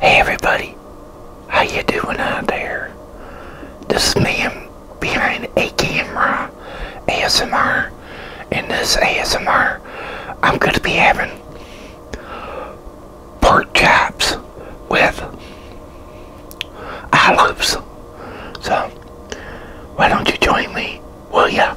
Hey everybody, how you doing out there? This is me behind a camera ASMR. In this ASMR, I'm going to be having pork chops with olives. So, why don't you join me, will ya?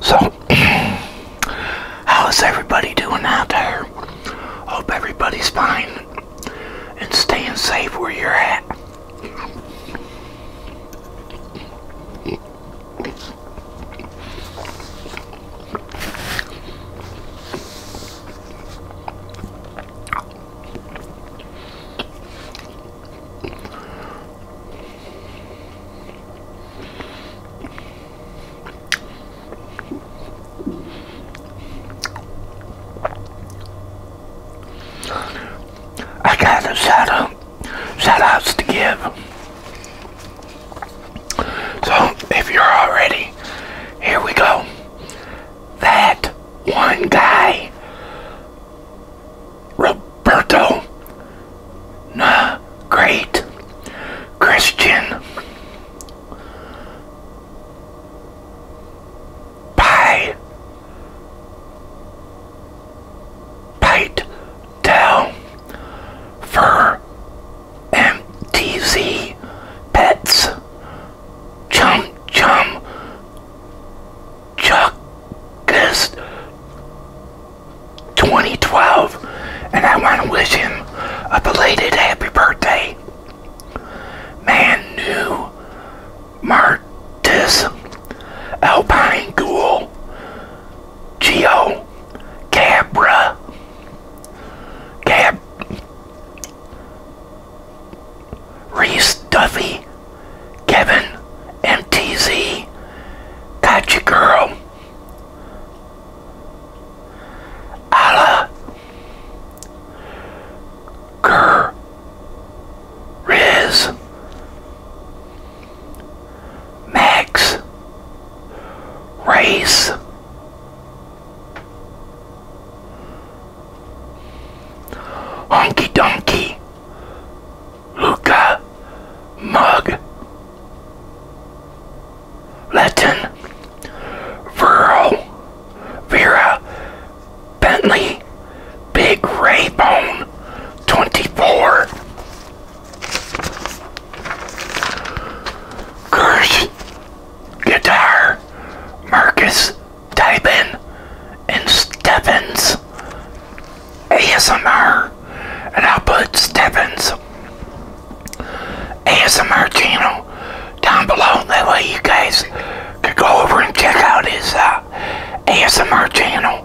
So, how's everybody doing out there? Hope everybody's fine and staying safe where you're at. I got a shout out, shout outs to give. So, if you're already, here we go. That one guy, Roberto, the great Christian Pie, Pite down Fur MTZ Pets Chum Chum Chuckist 2012 and I want to wish him a belated happy birthday. Man New Martis Alpine Ghoul Geo Cabra Gab Reese Duffy, Kevin MTZ, Gotcha Girl, Ala Gur Riz, Max, Race. Honky Donkey Luca Mug Latin, Vero Vera Bentley Big Raybone 24 Kirsch Guitar, Marcus Tybin, and Steppins ASMR, and I'll put Steppins ASMR channel down below. That way you guys could go over and check out his uh, ASMR channel.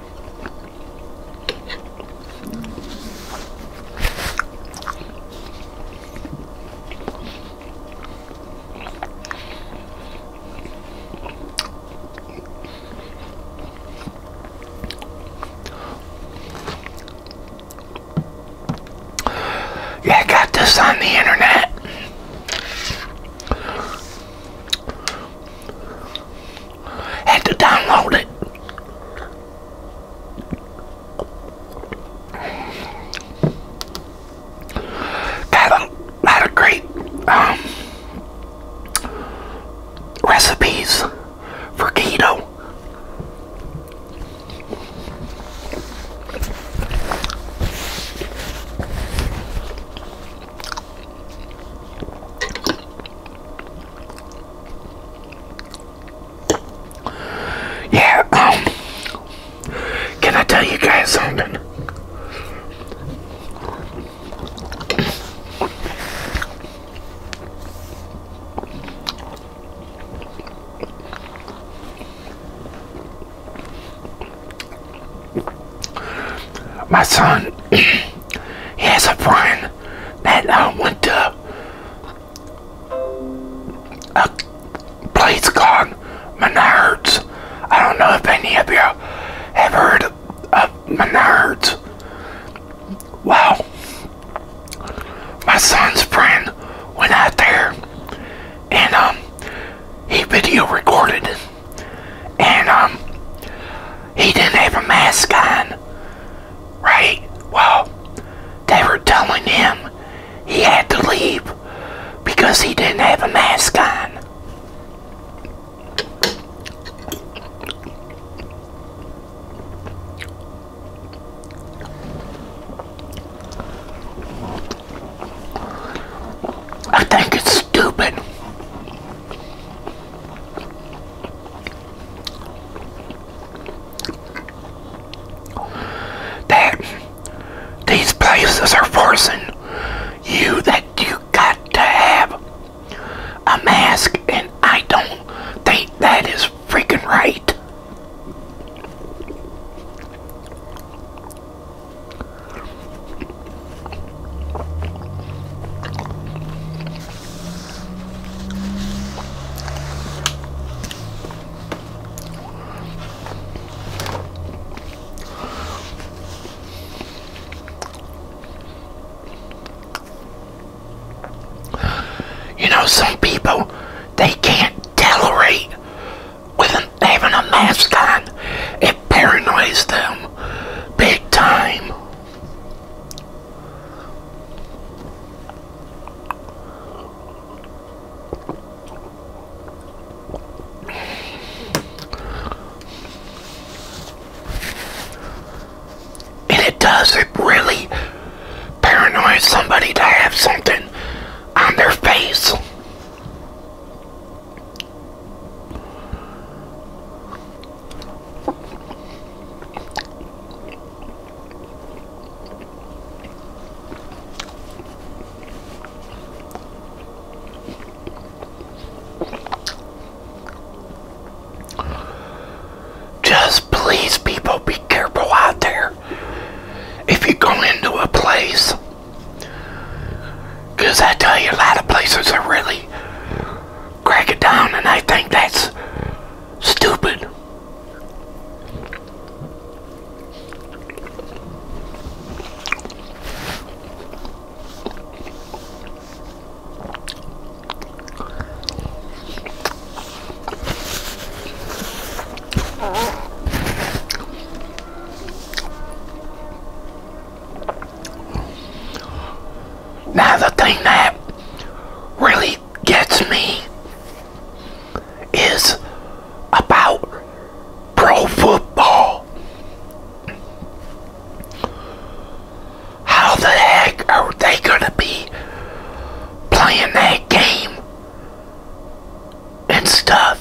Yeah, I got this on the internet had to download it. Got a lot of great um, recipes for keto. Yeah, um, can I tell you guys something? My son, he has a friend that I went to a uh, place called Menards. I don't know if any of you have heard of Menards. Well, my son's friend went out there and um, he video recorded and um, he didn't have a mask on right? Well, they were telling him he had to leave because he didn't have a mask on. I think it's stupid that these places are forcing you that you got to have a mask and I don't think that is freaking right. You know, some people, they can't tolerate with having a mask on. It paranoids them big time. And it does, it really paranoids somebody to have something on their face. Just please, people, be careful out there if you go into a place. Because I tell you, a lot of places are really crack it down, and I think that's stupid. Now the thing that really gets me is about pro football. How the heck are they going to be playing that game and stuff?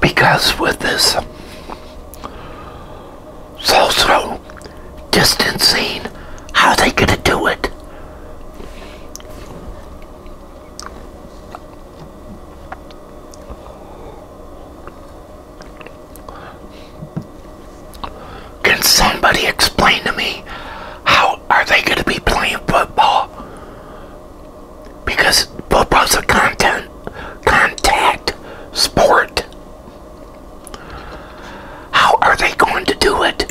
because with this social distancing, how are they going to do it? Can somebody explain to me how are they going to be playing football because both football's a content contact sport. How are they going to do it?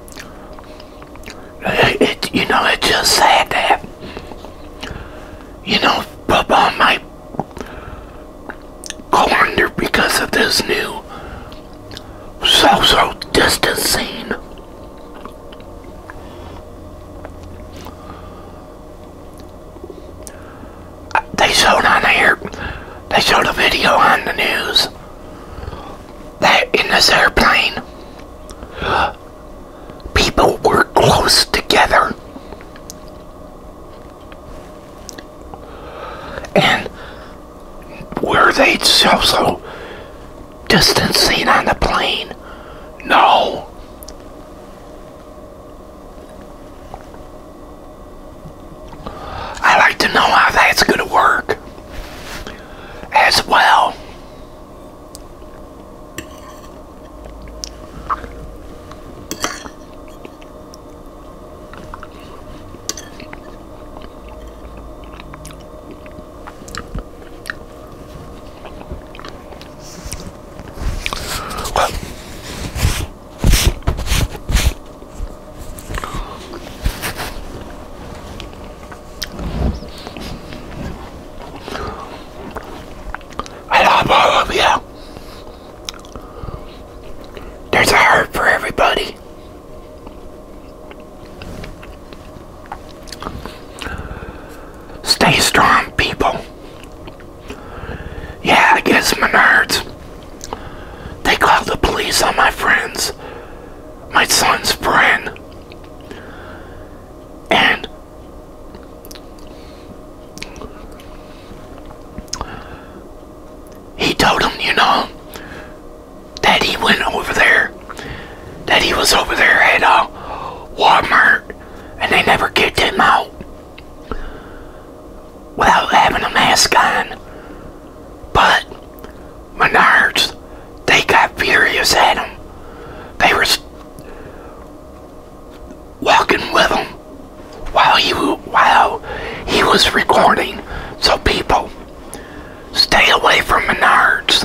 It, you know, it's just sad that, you know, people might go under because of this new social distancing. They showed on air, they showed a video on the news that in this airplane, people were close together. And were they also distancing on the plane? No. I like to know how that's going to work as well. I love all of you. There's a heart for everybody. Stay strong, people. Yeah, I guess my Menards. They called the police on my friends my son's friend. And he told him, you know, that he went over there, that he was over there at uh, Walmart, and they never kicked him out without having a mask on but Menards, they got furious at him. They were walking with him while he while he was recording. So people, stay away from Menards.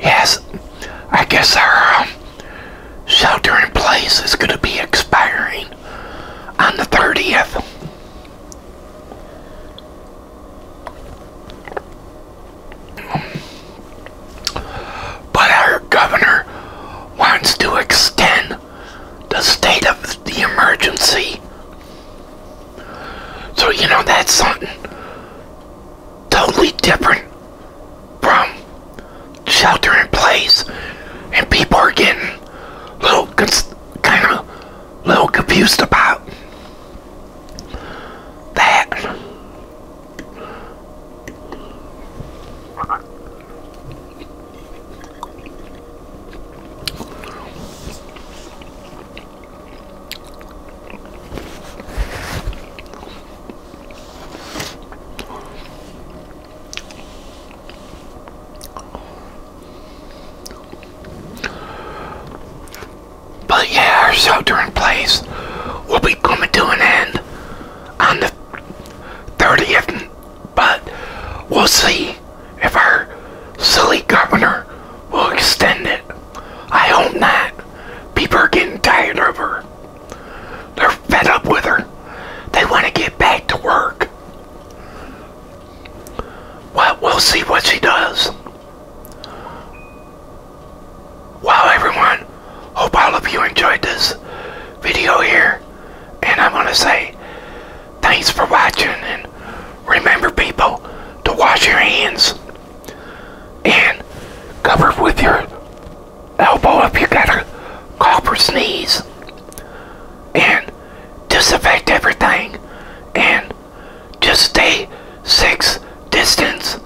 Yes, I guess our um, shelter in place is going to be expiring on the 30th. But our governor wants to extend the state of the emergency. So, you know, that's something totally different from shelter in place. And people are getting little kind of little confused about that. But yeah, our sheltering place will be coming to an end on the 30th, but we'll see if our silly governor will extend it. I hope not. People are getting tired of her. They're fed up with her. They want to get back to work. Well, we'll see what she does. Well, everyone, hope all of you enjoyed this video here. And I'm going to say thanks for watching. And remember, people, to wash your hands. And cover with your elbow if you got a cough And disinfect everything. And just stay six distance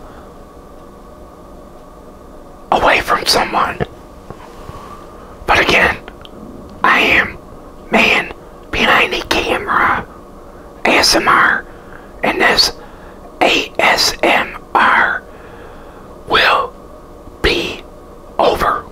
away from someone. But again, I am man behind the camera, ASMR, and this ASMR will be over.